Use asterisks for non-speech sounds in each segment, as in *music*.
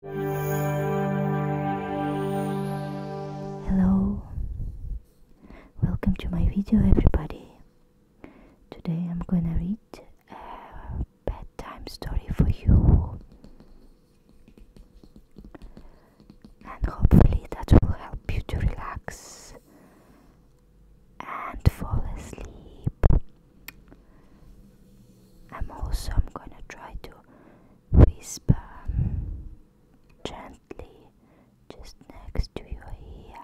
Hello, welcome to my video everybody. Today I'm gonna read a bedtime story for you and hopefully that will help you to relax and fall asleep. I'm also I'm gonna try to whisper um, gently just next to your ear.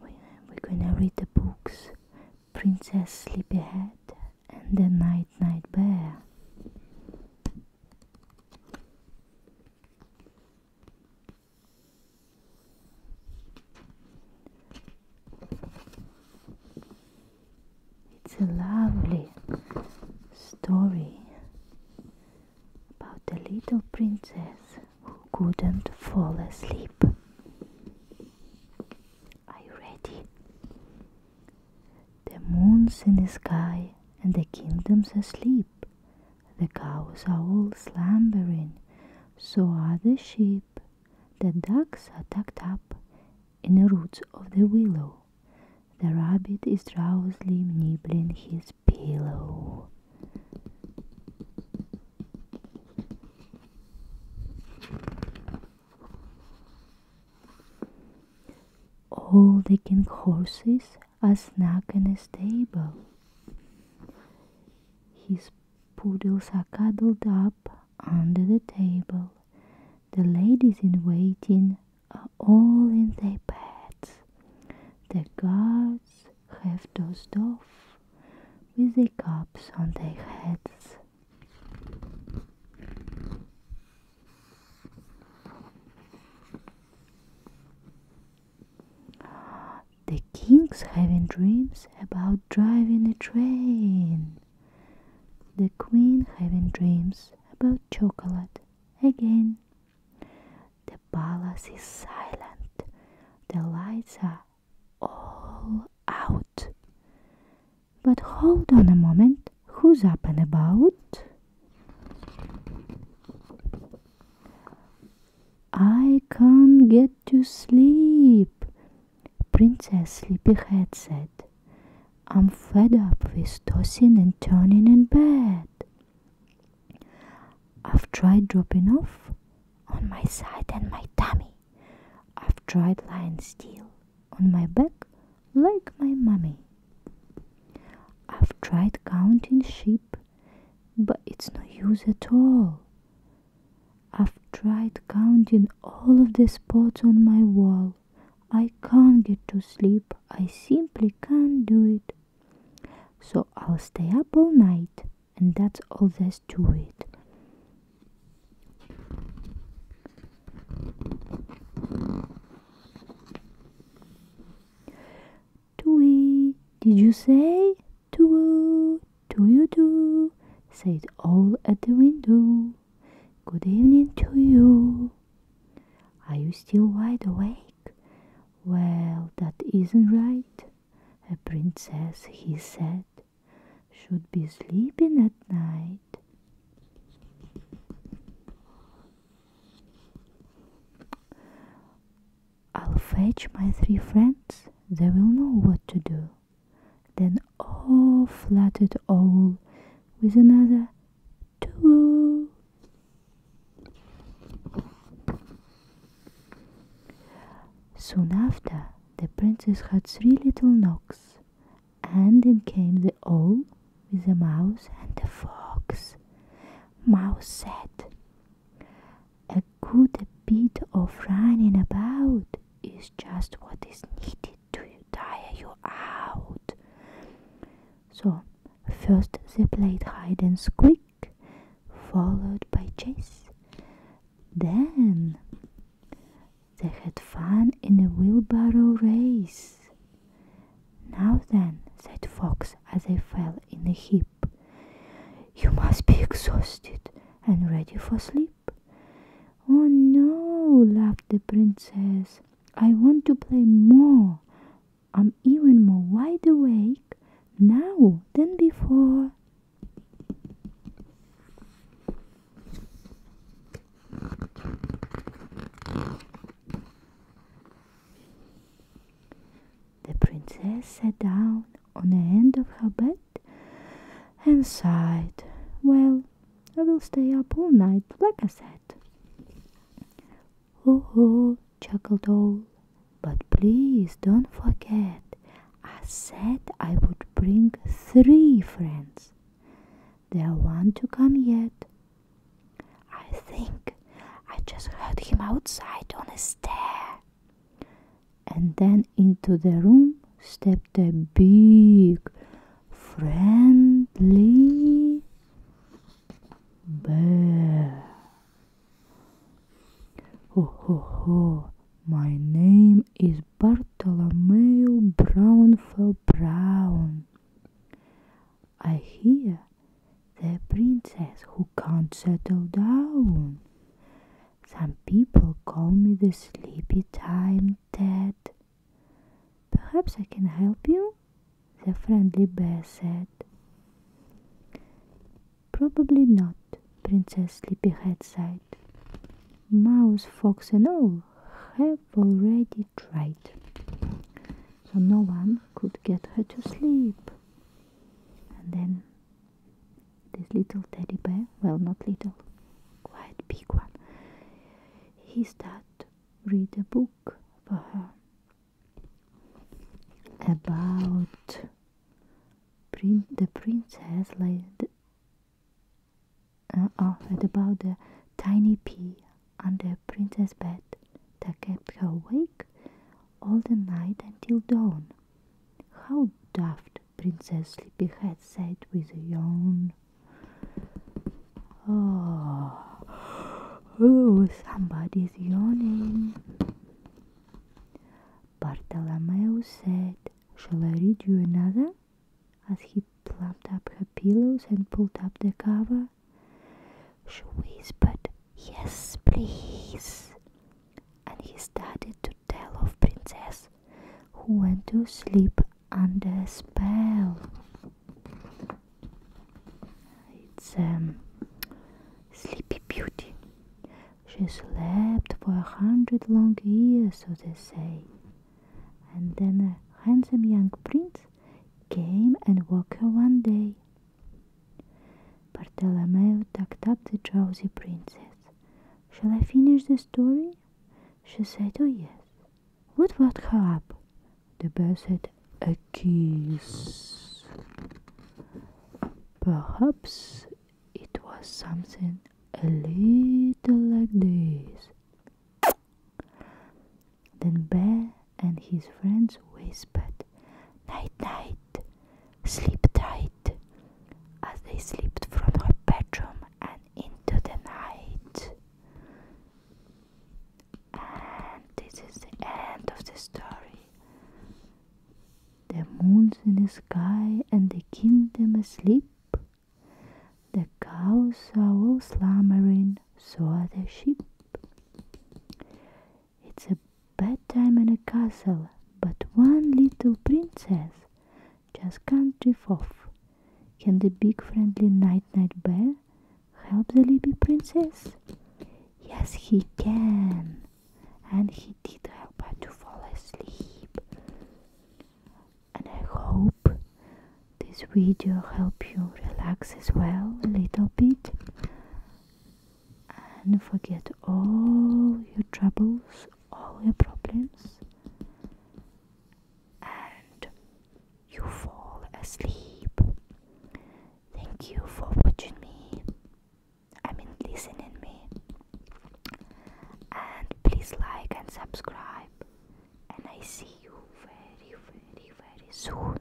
We're gonna read the books Princess Sleepyhead and the Night Night Bear. It's a lovely story about a little princess who couldn't fall asleep. Are you ready? The moon's in the sky and the kingdom's asleep. The cows are all slumbering, so are the sheep. The ducks are tucked up in the roots of the willow. The rabbit is drowsily nibbling his pillow. All the king horses are snug in a stable. His poodles are cuddled up under the table. The ladies in waiting are all in their beds. The guards have dozed off with their caps on their heads. The king's having dreams about driving a train. The queen having dreams about chocolate again. The palace is silent, the lights are all out. But hold on a moment, who's up and about? I can't get to sleep. Princess Sleepyhead said, I'm fed up with tossing and turning in bed. I've tried dropping off on my side and my tummy. I've tried lying still on my back like my mummy. I've tried counting sheep, but it's no use at all. I've tried counting all of the spots on my wall. I can't get to sleep. I simply can't do it. So I'll stay up all night, and that's all there's to it. Tui, did you say? Too, do you do? Said all at the window. Good evening to you. Are you still wide awake? Well, that isn't right. A princess, he said, should be sleeping at night. I'll fetch my three friends. They will know what to do then all flatted all with another two. Soon after, the princess had three little knocks, and in came the owl with a mouse and a fox. Mouse said, a good bit of running about is just what is needed to tire you out. So, first they played hide and squeak, followed by chase. Then they had fun in a wheelbarrow race. Now then, said Fox as they fell in a heap, you must be *laughs* exhausted and ready for sleep. Oh no, laughed the princess. I want to play more. I'm even more wide awake now than before. The princess sat down on the end of her bed and sighed. Well, I will stay up all night, like I said. Oh, oh, chuckled Owl. But please don't forget, I said I would bring three friends. There one to come yet. I think I just heard him outside on the stair, and then into the room stepped a big friendly bear. Ho ho ho, my name is Bartolomeo Brown for Brown. I hear the princess who can't settle down some people call me the sleepy time Ted. Perhaps I can help you? The friendly bear said. Probably not, Princess Sleepyhead sighed. Mouse, fox, and all have already tried, so no one could get her to sleep. And then this little teddy bear, well, not little, quite big one, he started read a book for her about prin the princess, like the, uh, oh, about the tiny pea under princess bed that kept her awake all the night until dawn. How daft Princess Sleepyhead said with a yawn. Oh, oh somebody's yawning. Bartolomeo said, Shall I read you another? As he plumped up her pillows and pulled up the cover. She whispered, Yes, please and he started to tell of princess who went to sleep under a spell. It's a um, Sleepy Beauty. She slept for a hundred long years, so they say. And then a handsome young prince came and woke her one day. Bartolomeo tucked up the drowsy princess Shall I finish the story? She said, Oh, yes. What woke her up? The bear said, A kiss. Perhaps it was something a little like this. Then Bear and his friends whispered, Night, night, sleep tight, as they slipped from her bedroom and into the night. And this is the end of the story. The moon's in the sky and the kingdom asleep. The cows are all slumbering, so are the sheep. It's a bad time in a castle, but one little princess just can't drift off. Can the big friendly Night Night Bear help the little princess? Yes, he can. And he did help her to fall asleep. And I hope this video helped you relax as well a little bit and forget all your troubles, all your problems, and you fall asleep. Thank you for watching me. I mean, listening me. And please like and subscribe. And I see you very, very, very soon.